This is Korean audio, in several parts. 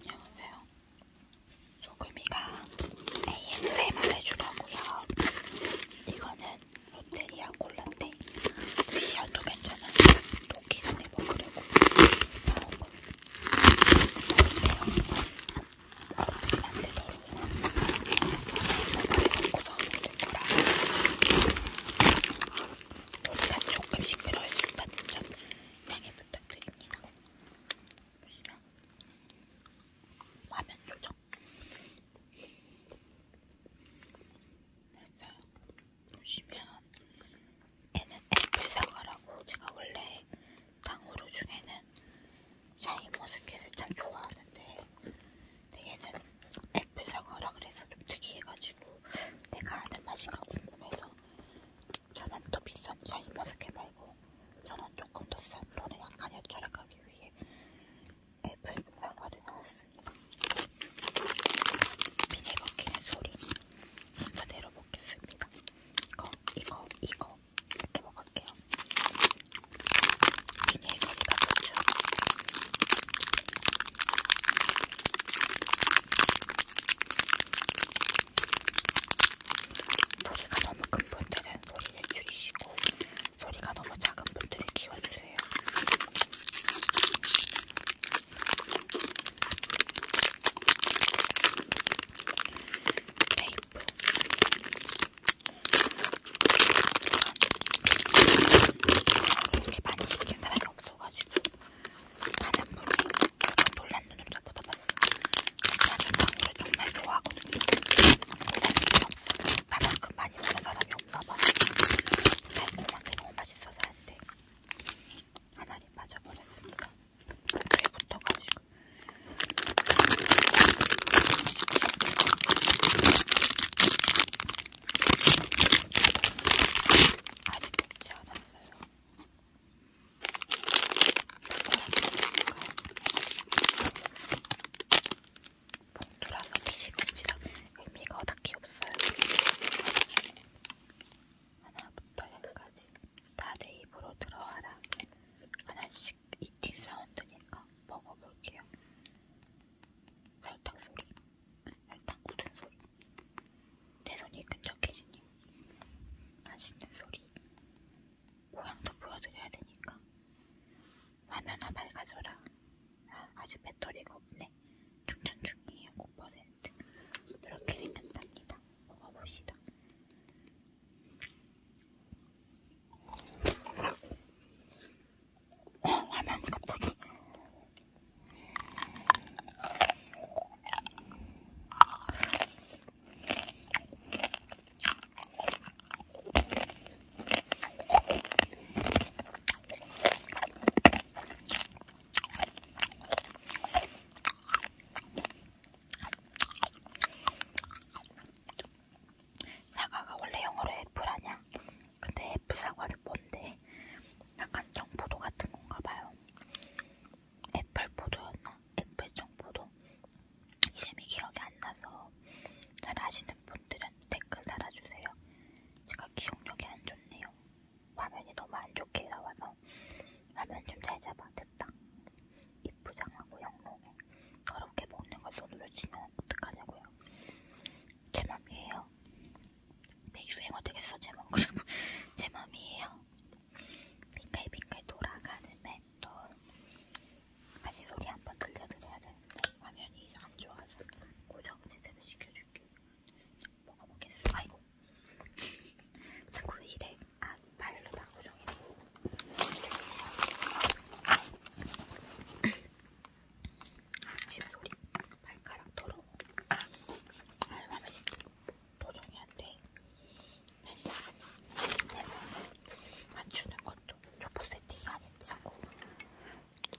안녕하세요. 소금이가 ASMR 해주라고요. 이거는 롯데리아 콜라인데 미션도 괜찮아요. 녹기 전에 먹으려고 나온 거. 어떻게 만들더라고요. 먹고서 먹을 거라. 소리가 조금씩 들어있다는 점 양해부탁드립니다. 부탁드립니다. 보시면 화면 조정 됐어요. 보시면 얘는 애플 사과라고 제가 원래 당후루 중에는 샤인 머스켓을 참 좋아하는데 근데 얘는 애플 사과라 그래서 좀 특이해가지고 내가 아는 맛인가 궁금해서 저는 더 비싼 샤인머스켓 말고 저는 조금 더 싼 돈에 약간 절약하기 위해 애플 사과를 사왔습니다. 비닐버킷의 소리 순서대로 먹겠습니다. 이거, 이거, 이거 이렇게 먹을게요. 비닐거리가 좋죠. 소리가 너무 큰 분들은 소리를 줄이시고 소리가 너무 작은 분들은 키워주세요. 테이프 이렇게 많이 시킨 사람이 없어가지고 나는 물이 놀란 눈을 쳐다다 봤어. 나는 방울을 정말 좋아하거든요. 놀란 눈이 없어. 나만큼 많이 먹는 사람이 없나 봐. 달콤한 게 너무 맛있어서 안 돼. 하나님 빠져버렸습니다. 물에 붙어가지고. 아직 먹지 않았어요. 봉투라서 미지근지라 의미가 딱히 없어요. 하나부터 열까지 다 내 입으로 들어와라. 하나씩 이팅 사운드니까 먹어볼게요. 설탕 소리, 설탕 굳은 소리. 내 손이 끈적해지니 맛있는 소리 모양도 보여드려야 되니까 화면아 밝아져라 아, 아직 배터리가 없네 충전 중이에요 9% 그렇게 생겼답니다 먹어봅시다 어, 화면 갑자기 사과가 원래 영어로 애플 아냐? 근데 애플 사과는 뭔데? 약간 정포도 같은 건가 봐요. 애플포도였나? 애플정포도? 이름이 기억이 안 나서 잘 아시는 분들은 댓글 달아주세요. 제가 기억력이 안 좋네요. 화면이 너무 안 좋게 나와서 화면 좀 잘 잡아. 됐다. 이쁘장하고 영롱해. 더럽게 먹는 걸 손으로 치면 어떡하냐고요. 제 맘이에요. 내 유행어 되겠어, 제 맘. 제 맘이에요. 빙글빙글 돌아가는 맷돌 다시 소리 한번 들려드려야 되는데 화면이 안 좋아서 고정 제대로 시켜줄게 먹어보겠어 아이고 자꾸 이래 아 발로 다 고정해 집 아, 소리 발가락 더러워 얼마나 아, 도전이 안 돼. 사실 맞추는 것도 초보 세팅이 아닌지 자꾸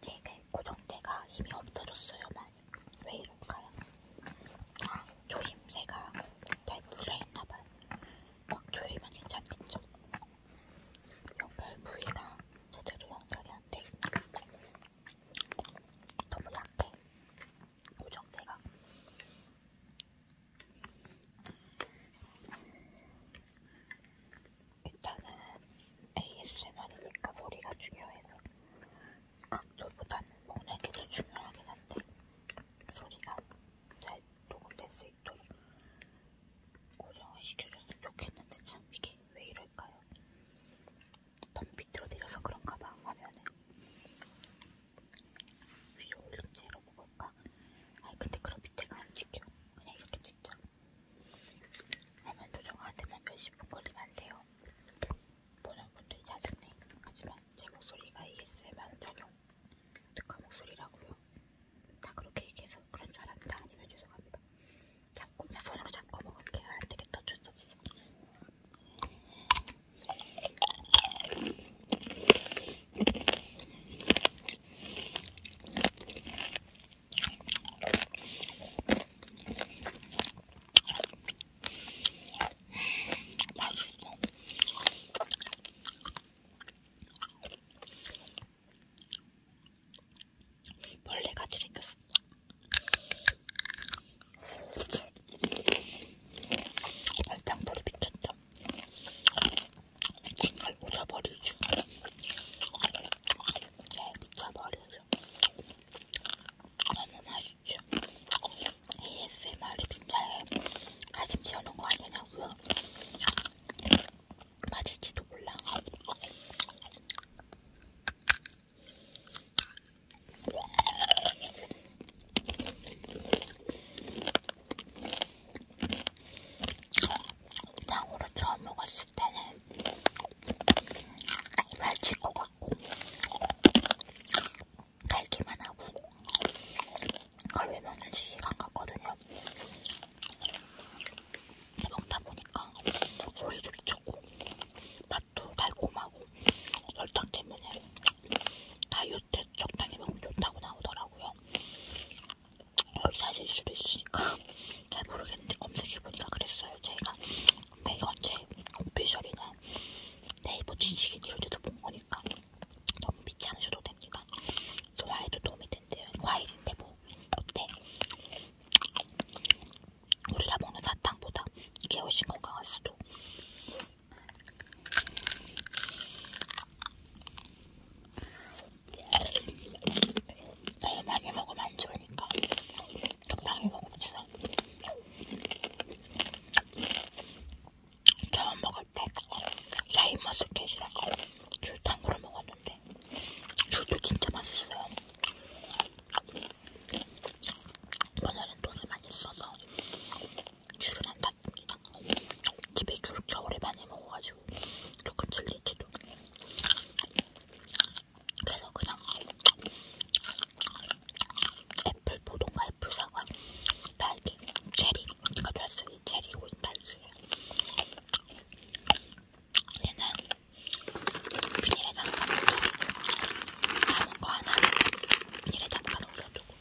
되게 고정대가 힘이 없어졌어요 많이. 왜 이럴까요? 아, 조임새가 잘 물려있나봐요. 꽉 조이면 괜찮겠죠? 연결 부위가 제대로 연결이 안돼 있으니까 너무 약해. 고정제가 일단은 ASMR이니까 소리가 중요해서 각도보다는 보내기도 중요하긴 한데 소리가 잘 녹음될 수 있도록 고정을 시켜줬으면 좋겠는데 참 이게 왜 이럴까요? 너무 밑으로 내려서 그런가 봐, 화면을. 위로 올린 채로 먹을까? 아니, 근데 그럼 밑에가 안 찍혀. 그냥 이렇게 찍자. 화면 조정하는데만 몇십 분 걸리면 안 돼요. 보는 분들이 짜증내. 하지만 제 목소리가 ASMR 전용 특화 목소리라고요. 다 그렇게 얘기해서 그런 줄 알았는데 아니면 죄송합니다. 잡고, 나 손으로 잡고 먹을게요. 안 되겠다. 어쩔 수 없어. 벌레같이 생겼어. 발장돌이 미쳤죠? 정말 오져버리죠. 네, 미쳐버리죠. 너무 맛있죠? ASMR이 빈자에 가슴 지어놓은 거 아니냐고요? 맛있지도 몰라. 장으로 처음 먹었을 때는 날칠 것 같고 달기만 하고 그걸 왜 먹는지 시간 갔거든요 먹다 보니까 오이도 미쳤고 맛도 달콤하고 설탕 때문에 다이어트 적당히 먹으면 좋다고 나오더라고요. 사실 수도 있으니까 잘 모르겠는데 검색해보니까 그랬어요. 제가 근데 이건 제 오피셜이나 네이버 지식인 이런 데서 본 거니까 너무 믿지 않으셔도 됩니다. 좋아해도 도움이 된대요. 과일인데 뭐 어때? 우리가 먹는 사탕보다 이게 훨씬 건강할 수도. 너무 많이 먹으면 안 좋으니까 적당히 먹읍시다. 처음 먹을 때 라임머스켓이랑 줄탕으로 먹었는데 줄도 진짜 맛있어요. 오늘은 돈이 많이 써서 귤은 안 탔습니다. 집에 귤 겨울에 많이 먹어가지고 조금 질리지도 그래서 그냥 애플 보동과 애플 사과 딸기 체리 제가 좋아했어요 체리고 딸기 얘는 비닐에 담가놓은 남은 거 하나는 이래 잠깐 올려두고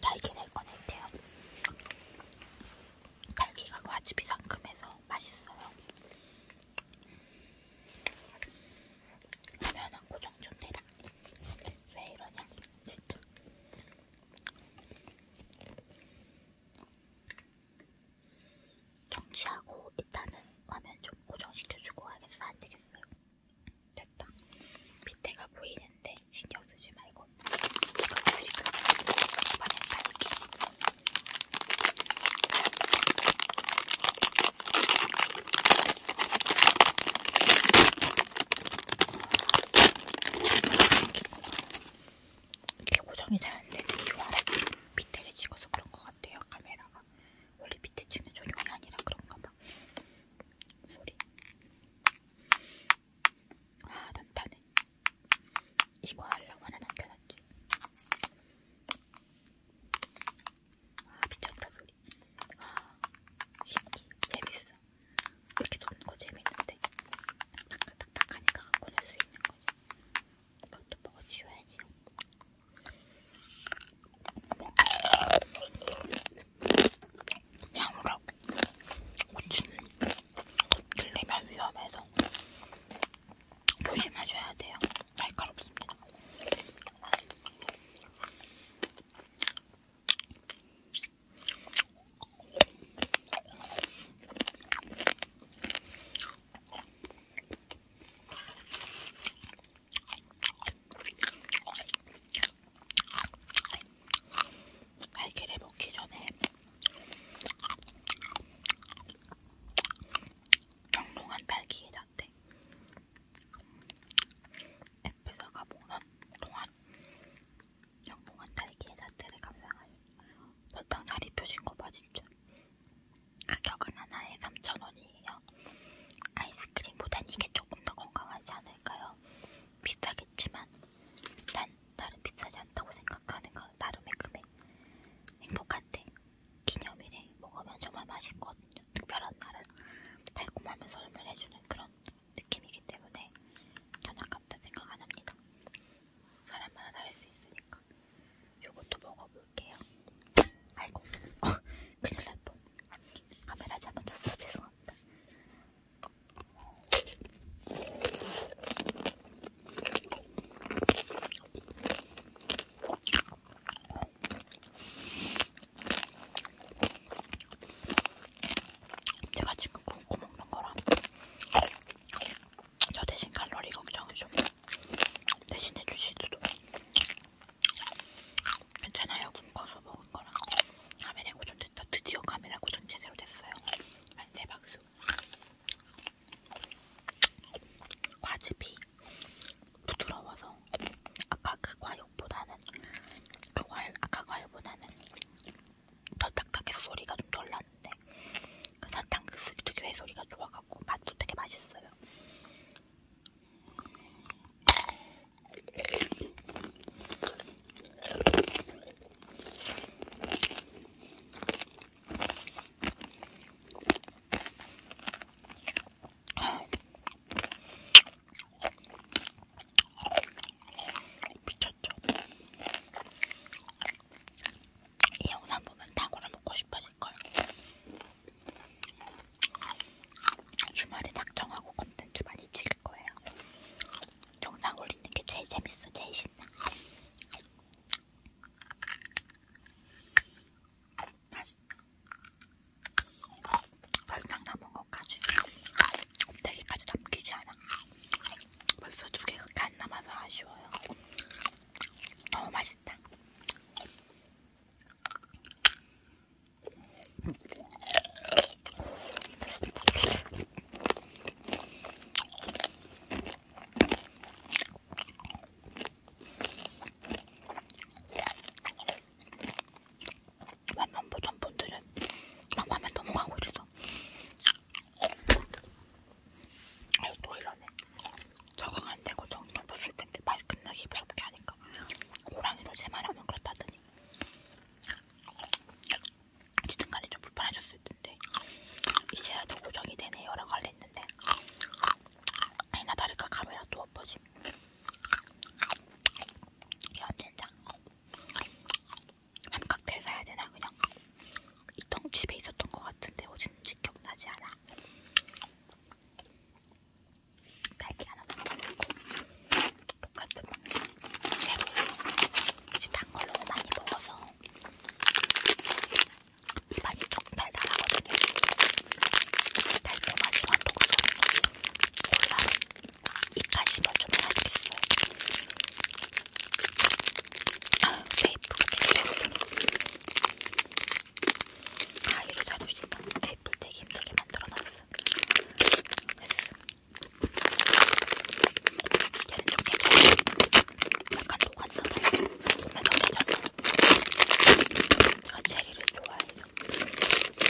딸기를 꺼낼게요. 딸기가 과즙이 상큼해서 맛있어요. 라면은 고정 좀 해라. 왜 이러냐, 진짜. 정지하고 일단은 화면 좀 고정시켜주고 하겠어 안되겠어요 됐다 밑에가 보이는데 신경쓰지 말고 이거 지금 화면 밝기 이게 고정이 잘 안되는 이유가 밑에를 찍어서 그런 것 같아요 카메라가 원래 밑에 층은 조용이 아니라 그런가 봐. 소리. 아, 난타네. 이거 하려고 하나 남겨놨지. 아, 미쳤다, 소리. 아, 신기. 재밌어. 이렇게 노는 거 재밌는데. 딱딱딱하니까 갖고 놀 수 있는 거지. 그것도 먹어치워야지. 양각 고추는 들리면 위험해서 조심하셔야 돼요. 날카롭습니다. 날개를 먹기 전에 경롱한 딸기의 자태 앱에서 가봉한 동안 영롱한 딸기의 자태를 감상하여 설탕 살이 펴진 거봐 진짜 가격은 하나에 3,000원이에요. 아이스크림보단 이게 조금 더 건강하지 않을까요? 비싸겠지만 난 나름 비싸지 않다고 생각하는 건 나름의 금액. 행복한데 기념일에 먹으면 정말 맛있거든요. 특별한 날은 달콤하면서 설명 해주는 그런 느낌이기 때문에 전 아깝다 생각 안 합니다. 사람마다 다를 수 있으니까. 요것도 먹어볼게요. 아이고, 어, 큰일 날 뻔. 카메라 잘못 쳤어. 죄송합니다. 제가 지금 굶고 먹는 거라 저 대신 칼로리 걱정을 좀 대신해 주시도록 괜찮아요. 굶어서 먹은 거랑 카메라 고정됐다. 드디어 카메라 고정 제대로 됐어요. 만세 박수. 과즙이 부드러워서 아까 그 과육보다는 그 과일 아까 과일보다는 더 딱딱해서 소리가 좀덜 났는데 그 사탕 그 특유의 소리가 좋아갖고 맛도 되게 맛있어요. 미쳤죠? 이 영상 보면 닭구를 먹고 싶어져. 먹을걸 주말에 작정하고 컨텐츠 많이 찍을거예요 정상 올리는게 제일 재밌어 제일 신나 맛있다 설탕 남은 것까지 껍데기까지 남기지 않아 벌써 두 개가 안 남아서 아쉬워요 너무 맛있다 만만 보던 분들은 막 화면 넘어가고 이래서 아유 또 이러네 적응 안 되고 정신 없을 텐데 말 끝나기 무섭게 하니까 호랑이로 제 말하면 그렇다더니 어쨌든 간에 좀 불편하셨을 텐데 이제야 더 고정이 되네 여러 가지 했는데 아니나 다를까 카메라 또 엎어짐 이런 젠장 맘칵테일 사야 되나 그냥 이통 집에 있었던 것 같은데 어딘지 기억나지 않아 달걀 하나 넣어놓고 똑같은 쉐고 지금 단 걸로 많이 먹어서 입안이 조금 달달하거든요. 달콤하지만 독소 골라 입까지만 좀 해야겠어요. 아유, 왜 이쁘게 쉐고 가위로 자를 수 있는 테이프를 되게 힘들게 만들어놨어. 얘는 좀 괜찮아. 약간 녹았나봐. 보면 더 괜찮아. 제가 체리를 좋아해요.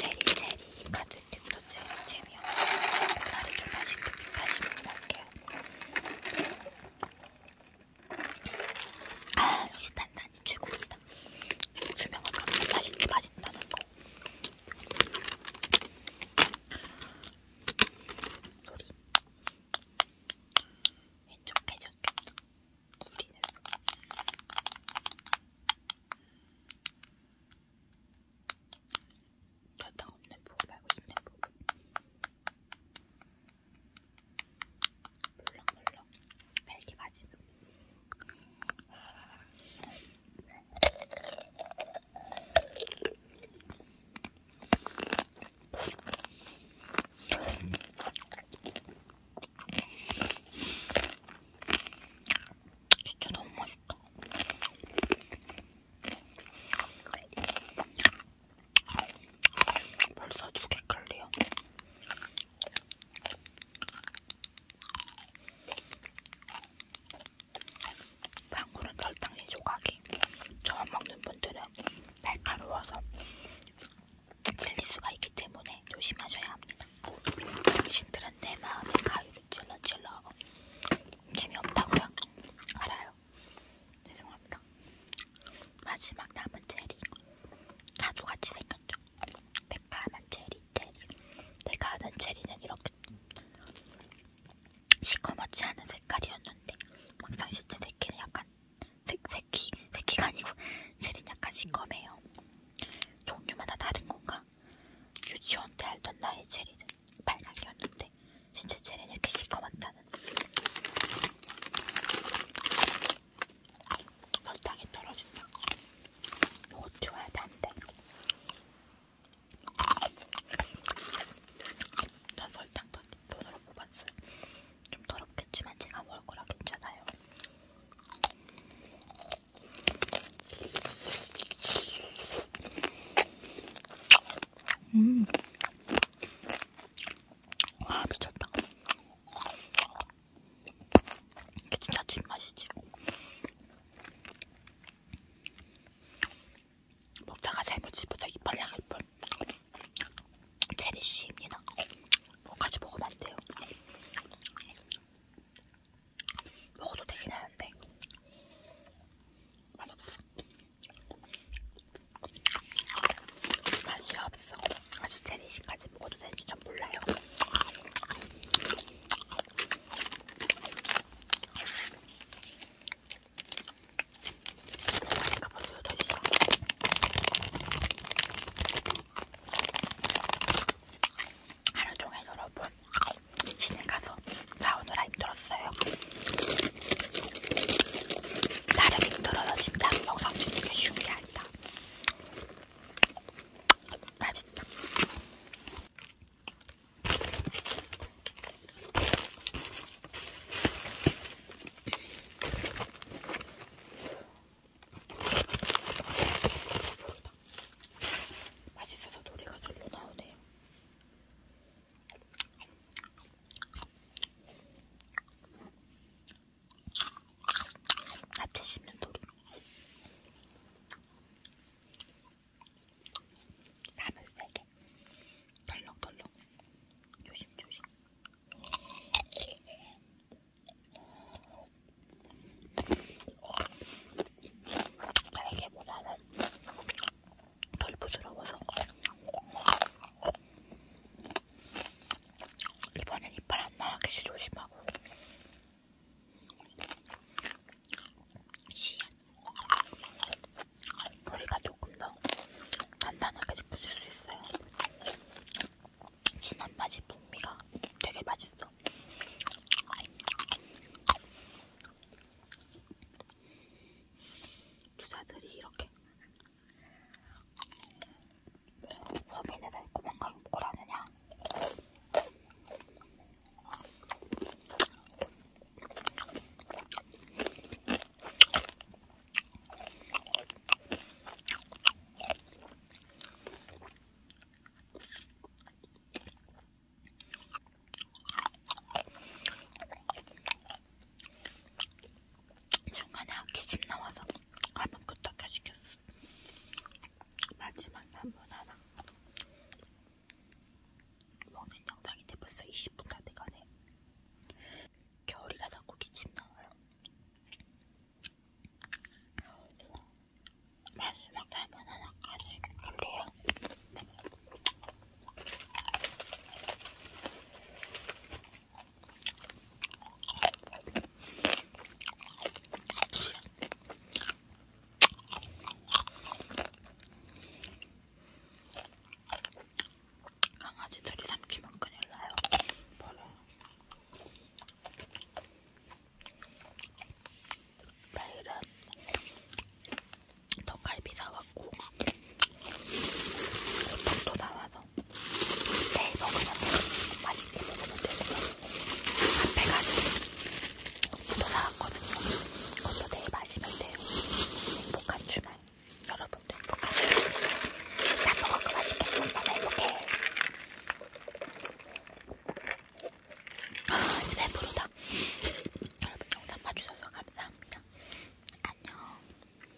체리, 체리, 이 카드 팁도 제일 재미없어. 콜라를 좀 마시고, 다시 먹을게요. 아 역시 단단이 최고입니다. 수명은 감자 맛있, 맛있다는 거. 소리. 왼쪽 깨졌겠다. 우리는. 저당 없는 부분 말고 있는 부분. 물렁물렁 벨기 맛있는 진짜 너무 맛있다. 벌써 두개 깔려. 당구는 절단의 조각이 처음 먹는 분들은 날카로워서 찔릴 수가 있기 때문에 조심하셔야 합니다. 당신들은 내 마음에 가위로 찔러 찔러 재미없다고요? 알아요. 죄송합니다. 마지막 남은 체리 가두같이 생겼죠. 내가 하는 체리 체리 내가 하는 체리는 이렇게 시커멓지 않은 색깔이었는데 막상 실제 새끼는 약간 새, 새끼 새끼가 아니고 체리는 약간 시커매요. 종류마다 다른 건가? 유치원 때 알던 나의 체리는 빨강이었는데 진짜 체리는 이렇게 시커멓다는 설탕이 떨어진다. 이거 좋아야 단데. 전 설탕 돈, 돈으로 뽑았어요. 좀 더럽겠지만 제가 먹을 거라 괜찮아요. 음. 와 미쳤다. 이게 진짜 진맛이지. 먹다가 잘못 집어서 이빨 나갈 뻔. 체리씨입니다. 뭐까지 먹으면 안 돼요. 먹어도 되긴 하는데 맛없어. 맛이 없어. 아주 제리식까지 먹어도 될지 전 몰라요. 그러니까 벌써 8시야. 하루 종일 여러분 시내 가서 나오느라 힘들었어요. 나름 힘들어요. 진짜 영상 찍는 게 쉬운 게 달다. 맛있다. 맛있어서 노래가 절로 나오네요. 야채 씹는 소리. 담을 세게. 덜렁덜렁. 조심조심. 날개보다는 덜 부드러워서 이번엔 이빨 안 나가게 조심하고. 씨앗. 머리가 조금 더 단단하게 붙일 수 있어요. 진한 맛이 풍미가 되게 맛있어. 투자들이 이렇게 소민이는 그만큼 오라느냐? 중간에 기침 나와서 한 번 끄떡해 시켰어. 마지막 남은 하나. 먹는 영상인데 벌써 20분 다 돼가네. 겨울이라 자꾸 기침 나와요. 마지막 남은 하나까지 근데요. 강아지들이 삼키면 큰일 나요. 버려. 내일은 떡갈비 사왔고 또 나와서 내일 먹으면 되고 맛있게 먹으면 되고 앞에 가서 또 나왔거든요. 그것도 내일 마시면 돼요. 행복한 주말. 여러분도 행복한 주말. 나 먹을 거 맛있게 먹으면 행복해. 아, 이제 배부르다. 여러분 영상 봐주셔서 감사합니다. 안녕.